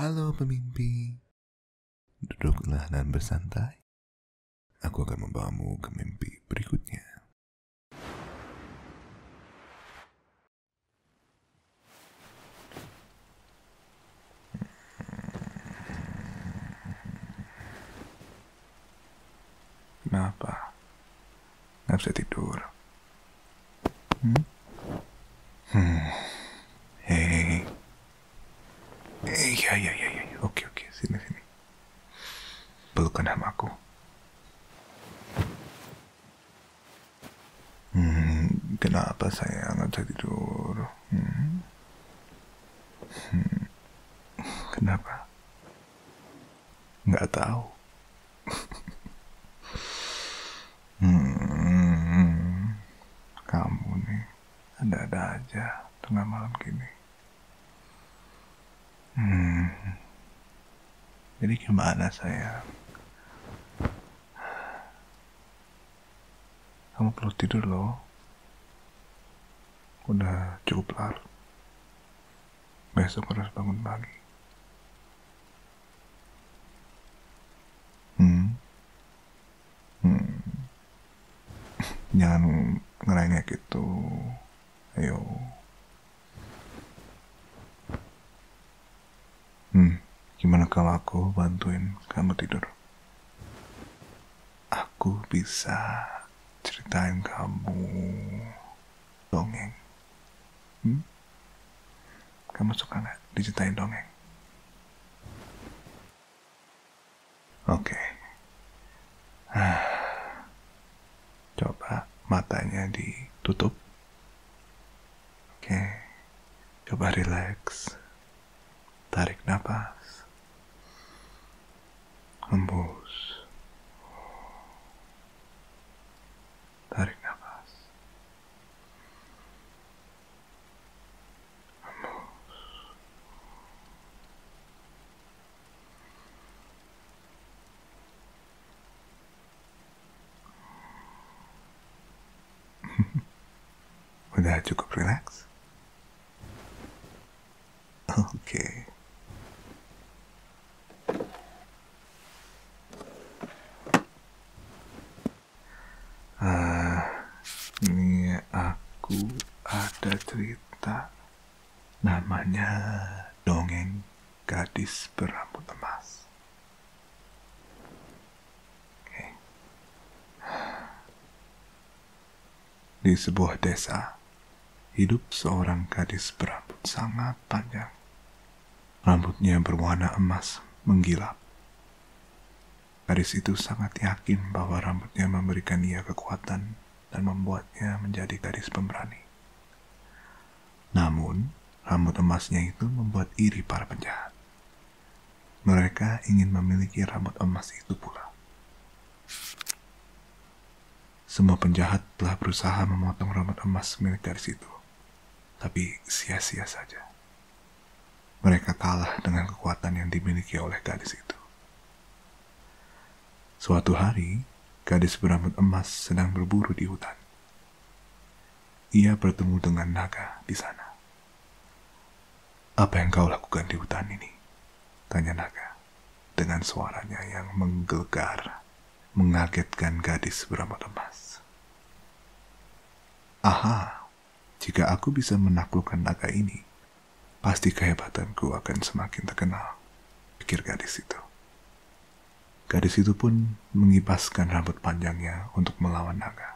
Halo pemimpi, duduklah dan bersantai. Aku akan membawamu ke mimpi berikutnya. Kenapa? Nggak bisa tidur. Hmm? Hmm. Hei. Hei, ya, ya, ya, ya. Oke, oke. Sini, sini. Pelukan sama aku. Hmm, kenapa saya nggak bisa tidur? Hmm. hmm. Kenapa? nggak tahu hmm, kamu nih ada-ada aja tengah malam gini hmm, jadi gimana saya kamu perlu tidur loh udah cukup larut Besok harus bangun pagi. Hmm. jangan hmm. Jangan ngerengek gitu. Ayo. Hmm, gimana kalau aku bantuin kamu tidur? Aku bisa ceritain kamu dongeng. Hmm? Kamu suka nggak diceritain dongeng? Oke. Okay. Ah. Coba matanya ditutup. Oke. Okay. Coba relax. Tarik nafas. humbles. Tarik nafas. Humbles. With that you relax. Oke, Uh, ini aku ada cerita namanya dongeng gadis berambut emas. Di sebuah desa, hidup seorang gadis berambut sangat panjang. Rambutnya berwarna emas menggilap. Gadis itu sangat yakin bahwa rambutnya memberikan ia kekuatan dan membuatnya menjadi gadis pemberani. Namun, rambut emasnya itu membuat iri para penjahat. Mereka ingin memiliki rambut emas itu pula. Semua penjahat telah berusaha memotong rambut emas milik gadis itu, tapi sia-sia saja. Mereka kalah dengan kekuatan yang dimiliki oleh gadis itu. Suatu hari, gadis berambut emas sedang berburu di hutan. Ia bertemu dengan naga di sana. Apa yang kau lakukan di hutan ini? Tanya naga dengan suaranya yang menggelegar, mengagetkan gadis berambut emas. Aha, jika aku bisa menaklukkan naga ini, pasti kehebatanku akan semakin terkenal, pikir gadis itu. Gadis itu pun mengipaskan rambut panjangnya untuk melawan naga.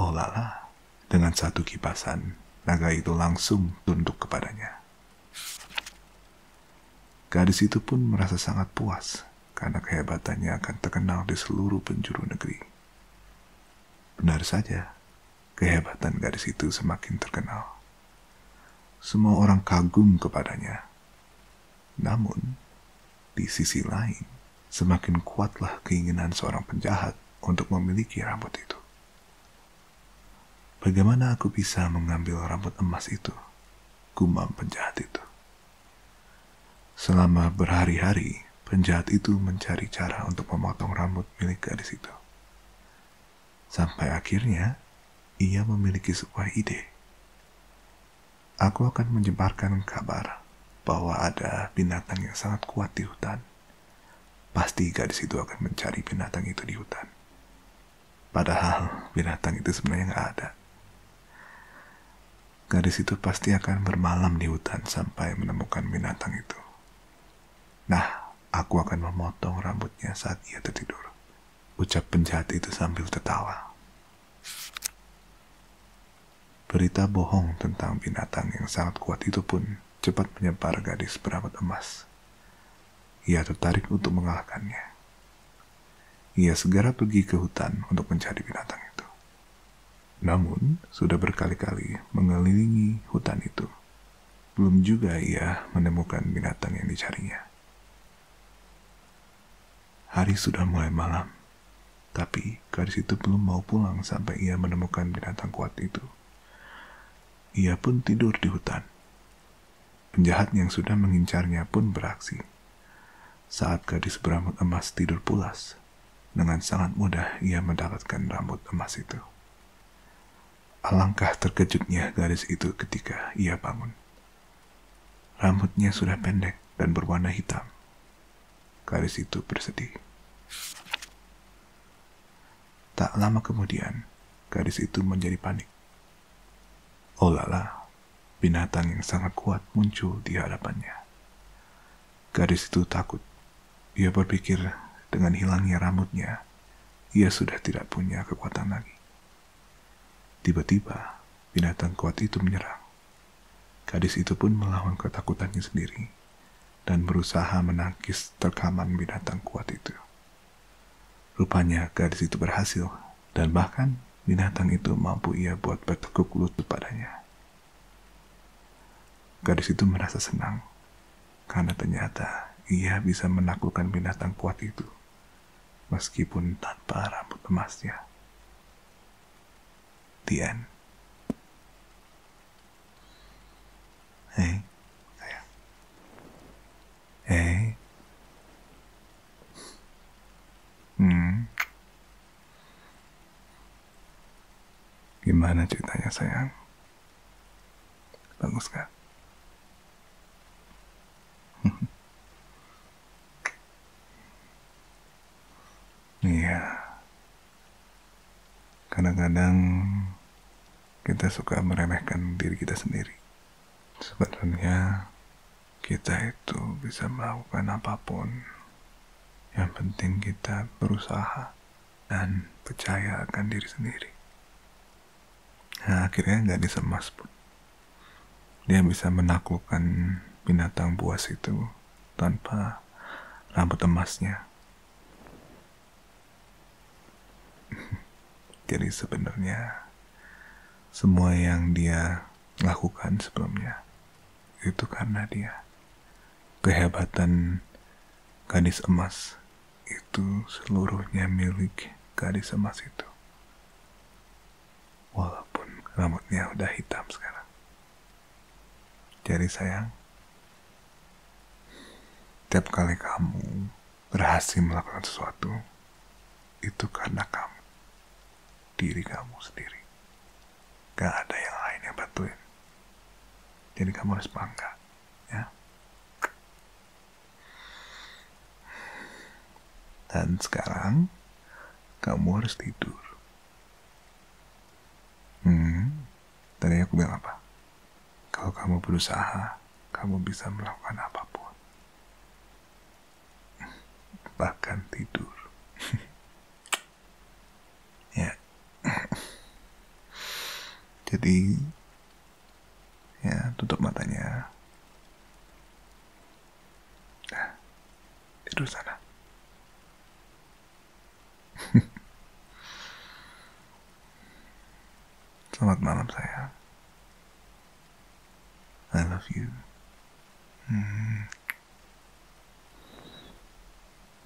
Oh lala, dengan satu kipasan, naga itu langsung tunduk kepadanya. Gadis itu pun merasa sangat puas karena kehebatannya akan terkenal di seluruh penjuru negeri. Benar saja, kehebatan gadis itu semakin terkenal. Semua orang kagum kepadanya. Namun, di sisi lain, semakin kuatlah keinginan seorang penjahat untuk memiliki rambut itu. Bagaimana aku bisa mengambil rambut emas itu? Gumam penjahat itu. Selama berhari-hari, penjahat itu mencari cara untuk memotong rambut milik gadis itu. Sampai akhirnya, ia memiliki sebuah ide. Aku akan menyebarkan kabar bahwa ada binatang yang sangat kuat di hutan Pasti gadis itu akan mencari binatang itu di hutan. Padahal binatang itu sebenarnya nggak ada. Gadis itu pasti akan bermalam di hutan sampai menemukan binatang itu. Nah, aku akan memotong rambutnya saat ia tertidur. Ucap penjahat itu sambil tertawa. Berita bohong tentang binatang yang sangat kuat itu pun cepat menyebar gadis berambut emas. Ia tertarik untuk mengalahkannya. Ia segera pergi ke hutan untuk mencari binatang itu. Namun, sudah berkali-kali mengelilingi hutan itu. Belum juga ia menemukan binatang yang dicarinya. Hari sudah mulai malam tapi gadis itu belum mau pulang sampai ia menemukan binatang kuat itu. Ia pun tidur di hutan. Penjahat yang sudah mengincarnya pun beraksi. Saat gadis berambut emas tidur pulas, dengan sangat mudah ia mendapatkan rambut emas itu. Alangkah terkejutnya gadis itu ketika ia bangun. Rambutnya sudah pendek dan berwarna hitam garis itu bersedih. Tak lama kemudian, garis itu menjadi panik. lala, binatang yang sangat kuat muncul di hadapannya. Garis itu takut. Ia berpikir dengan hilangnya rambutnya, ia sudah tidak punya kekuatan lagi. Tiba-tiba, binatang kuat itu menyerang. Gadis itu pun melawan ketakutannya sendiri dan berusaha menangkis terkaman binatang kuat itu. Rupanya gadis itu berhasil dan bahkan binatang itu mampu ia buat bertekuk lutut padanya. Gadis itu merasa senang karena ternyata ia bisa menaklukkan binatang kuat itu meskipun tanpa rambut emasnya. The end. Eh? Eh? Hmm. Gimana ceritanya sayang? Bagus kan? Iya. Kadang-kadang kita suka meremehkan diri kita sendiri. Sebenarnya kita itu bisa melakukan apapun. Yang penting kita berusaha dan percaya akan diri sendiri. Nah, akhirnya nggak disemas pun. Dia bisa menaklukkan binatang buas itu tanpa rambut emasnya. Jadi sebenarnya semua yang dia lakukan sebelumnya itu karena dia kehebatan gadis emas itu seluruhnya milik gadis emas itu. Walaupun rambutnya udah hitam sekarang. Jadi sayang, tiap kali kamu berhasil melakukan sesuatu, itu karena kamu. Diri kamu sendiri. Gak ada yang lain yang bantuin. Jadi kamu harus bangga. Ya. Dan sekarang kamu harus tidur. Hmm, tadi aku bilang apa? Kalau kamu berusaha, kamu bisa melakukan apapun. Bahkan tidur. ya. Jadi, ya tutup matanya. Nah, tidur sana. Selamat malam saya. I love you. Hmm.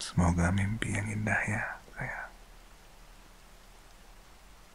Semoga mimpi yang indah ya saya.